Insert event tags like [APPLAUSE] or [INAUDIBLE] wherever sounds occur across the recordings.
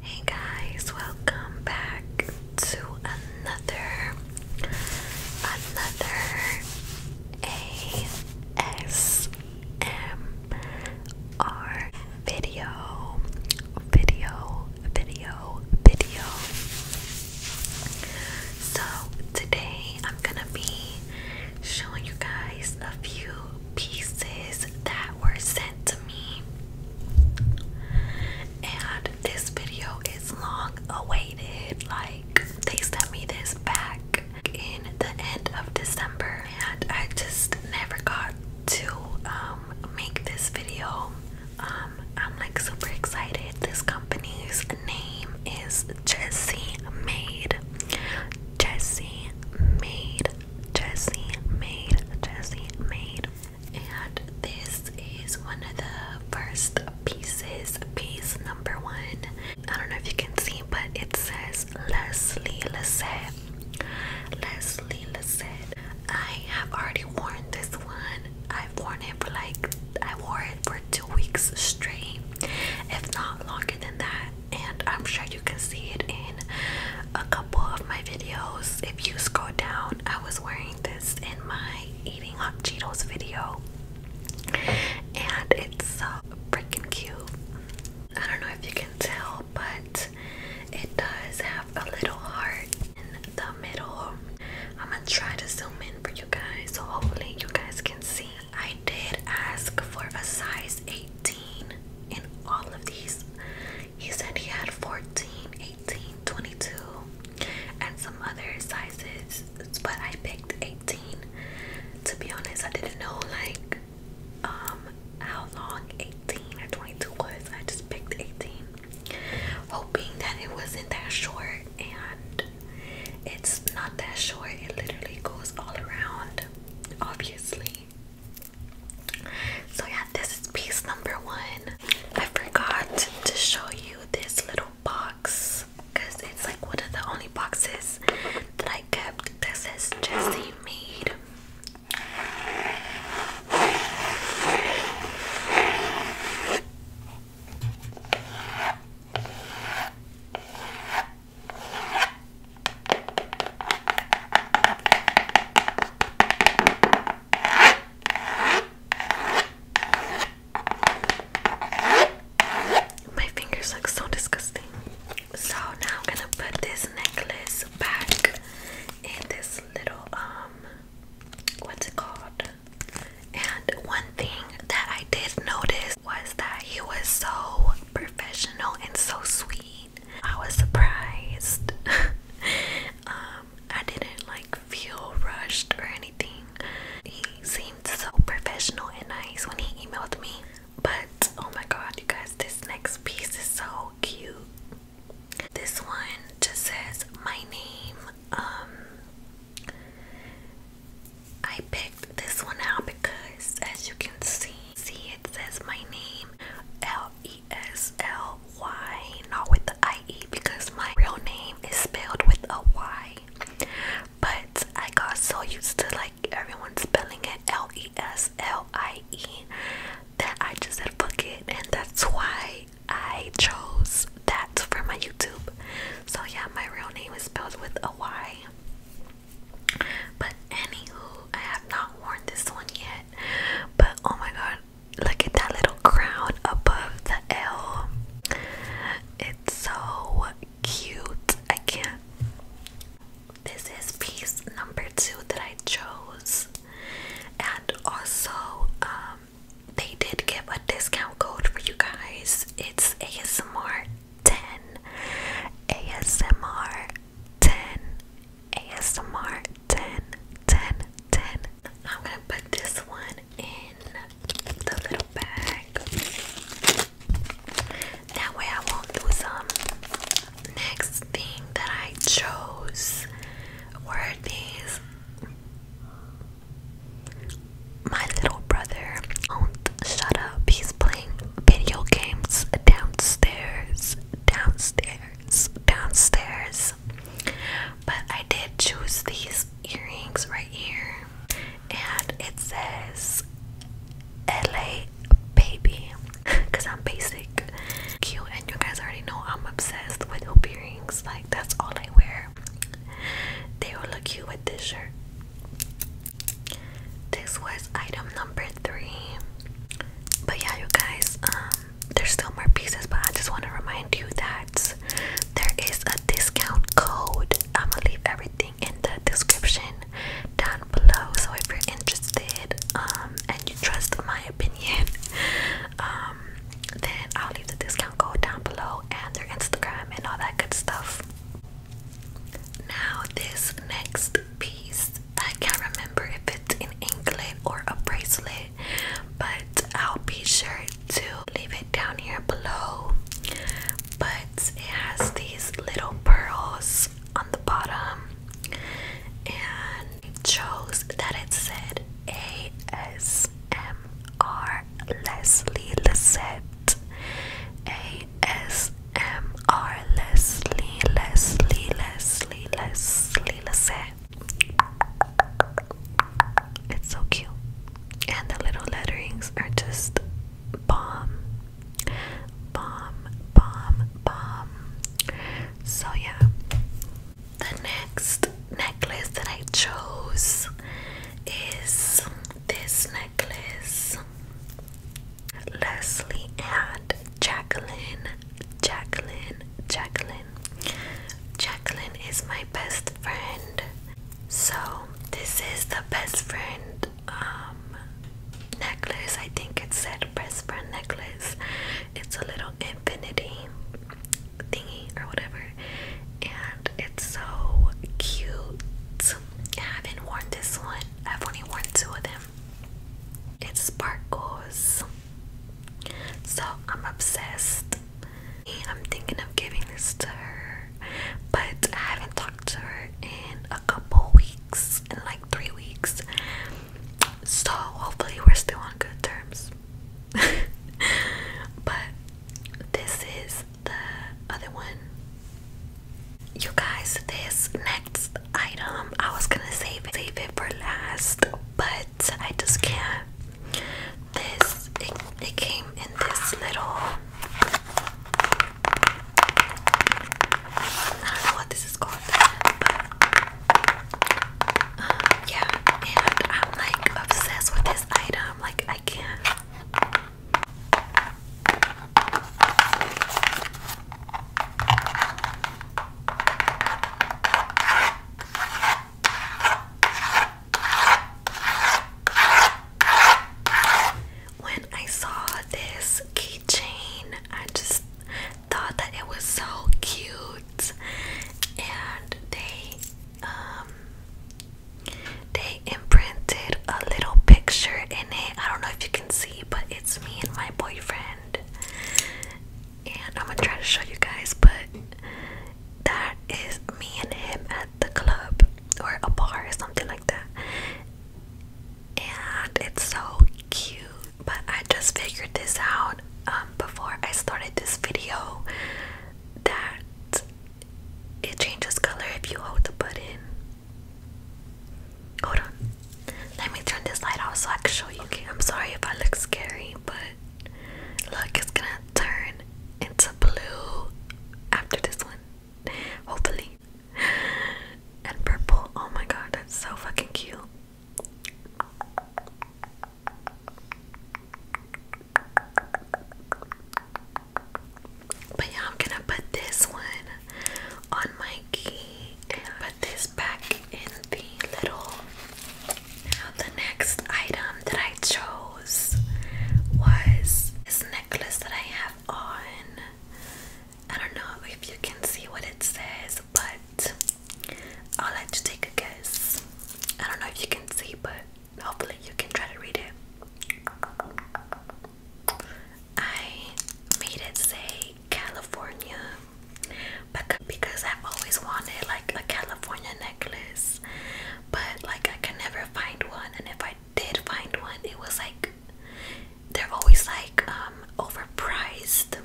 Hey guys, welcome back to another another ASMR video video video video. So today I'm gonna be showing you guys a few pieces that were sent to me. And this video is long awaited. Like, they sent me this back in the end of December, and I just never got to um, make this video. Um, I'm like super excited. This company's name is Jessie Made. Jessie made. Jessie made. Jessie made. And this is one of the first pieces, piece number one. I don't know if you can see, but it says Leslie Lissette. Leslie Lissette. I have already worn this one. I've worn it for like, I wore it for two weeks straight, if not longer than that and I'm sure you can see it in a couple of my videos. If you scroll down, I was wearing this in my eating hot Cheetos video, and it's so uh, freaking cute. I don't know if you can tell, but it does have a little heart in the middle. I'm gonna try to zoom in for you guys, so hopefully you guys can see. I did ask for a size 18 in all of these. He said he had 14, 18, 22, and some other sizes, but I picked 18. To be honest, I didn't know like um how long 18 or 22 was. I just picked 18, hoping that it wasn't that short and it's not that short. It literally goes all around obviously. So yeah, this is piece number one. I forgot to show you this little box because it's like one of the only boxes that I kept that says Jesse made. My fingers look so disgusting. So now I'm gonna put this necklace back in this little um what's it called? And one thing that I did notice was that he was so professional and so sweet. I was surprised. [LAUGHS] um, I didn't like feel rushed or anything. He seemed so professional and nice when he emailed me. But oh my god, you guys, this next piece is so cute. This one just says my name. Um I picked this one out because as you can see, see it says my name L-E-S-L-Y, not with the I-E because my real name is spelled with a Y. But I got so used to like everyone spelling it L E S L I E that I just said fuck it and that's why I chose that for my YouTube. So yeah, my real name is spelled with a Y. But anywho, I have not worn this one yet. But oh my god, look at that little crown above the L. It's so cute. I can't. This is piece number two that I chose. And also, um, they did give a discount code for you guys. It's ASMR 10 ASMR 10 ASMR 10 I'm gonna put this one in the little bag that way I won't lose them next thing that I chose were these my little brother won't shut up. He's playing video games downstairs, downstairs, downstairs. But I did choose these earrings right here, and it says LA Baby because [LAUGHS] I'm basic, cute, and you guys already know I'm obsessed with hoop earrings. Like, that's all I wear. They will look cute with this shirt. This was item number three. But yeah, you guys, um, there's still more pieces, but I just want to remind you that there is a discount code. I'm gonna leave everything in the description down below. So if you're interested, um, and you trust my opinion, [LAUGHS] um, then I'll leave the discount code down below and their Instagram and all that good stuff. Now, this next piece, I can't remember if it's an anklet or a bracelet, but I'll be sure to leave it down here below. But it has these little pearls on the bottom, and chose that it said ASMR Leslie Lissette ASMR Leslie Leslie Leslie Leslie Lissette It's so cute and the little letterings are just bomb bomb bomb bomb so yeah the next necklace that I chose is this necklace necklace. Leslie and Jacqueline. Jacqueline. Jacqueline. Jacqueline is my best friend. So this is the best friend um necklace. I think it said best friend necklace. It's a little infinity thingy or whatever and it's so cute. I haven't worn this one. I've only worn two of them. It sparkles. So I'm obsessed. I'm thinking of giving this to her, but I haven't talked to her in a couple weeks, in like three weeks. So hopefully we're still on good terms. [LAUGHS] but this is the other one. You guys, this next item, I was gonna save it, save it for last, but I just can't. This it, came in this little. I don't know what this is called, but um, yeah, and I'm like obsessed with this item. Like I can't. When I saw this keychain, I just thought that it was so cute, and they um, they imprinted a little picture in it. I don't know if you can see, but it's me and my boyfriend. And I'm gonna try to show you guys, but that is me and him at the club or a bar or something like that. And it's so cute. But I just figured this out um, before I started this video that it changes color if you hold the button. Hold on. Let me turn this light off so I can show you. I'm sorry if I look scary, but look, it's gonna turn into blue after this one. Hopefully. And purple. Oh my god, that's so fucking cute. But yeah, I'm gonna put this one on my key and put this back in the little. Now, the next item that I chose was this necklace that I have on. I don't know if you can see what it says, but I'll let you take a guess. I don't know if you can see, but hopefully you can try to read it. I made it say California because I've always wanted like a California necklace, but like I can never find one. And if I did find one, it was like they're always like um overpriced.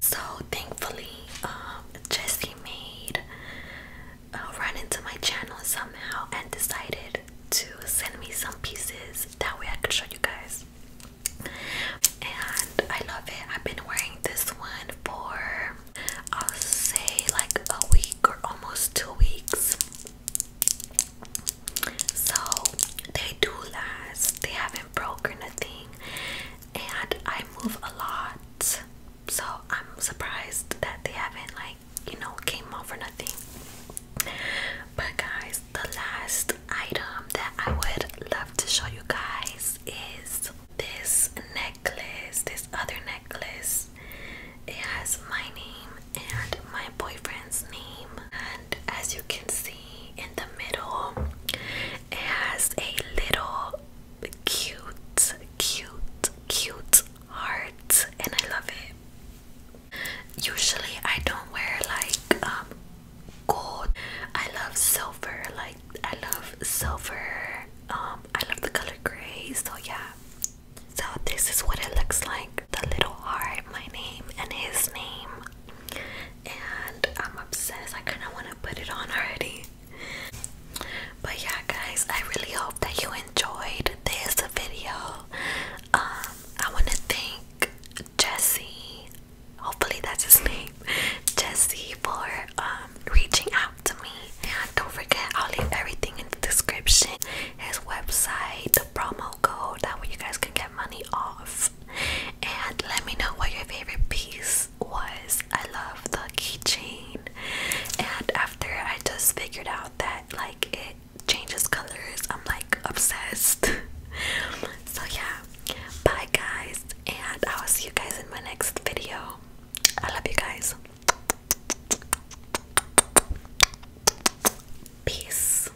So thankfully, um, Jesse made uh, run into my channel somehow and decided to send me some pieces that way I could show you guys. And I love it. I've been wearing this one for I'll say like a week or almost two weeks. So they do last. They haven't broken a thing. And I move a lot. So I'm surprised that they haven't like you know came out for nothing but guys the last item that i would love to show you guys is this necklace this other necklace it has my name and my boyfriend's name and as you can see in the middle it has a little cute cute cute hearts and I love it. Usually I don't wear like um gold. I love silver. Like I love silver. Um I love the color gray. So yeah. So this is what it looks like. The little heart, my name and his name. And I'm obsessed. I kind of want to put it on already. But yeah, guys, I really hope that you enjoyed this video. Um, I want to thank Jesse. Hopefully that's his name, Jesse, for um reaching out to me. And don't forget, I'll leave everything in the description. His website, the promo code, that way you guys can get money off. And let me know what your favorite piece was. I love the keychain and after I just figured out that like it changes colors, I'm like obsessed. [LAUGHS] so yeah, bye guys, and I will see you guys in my next video. I love you guys. Peace.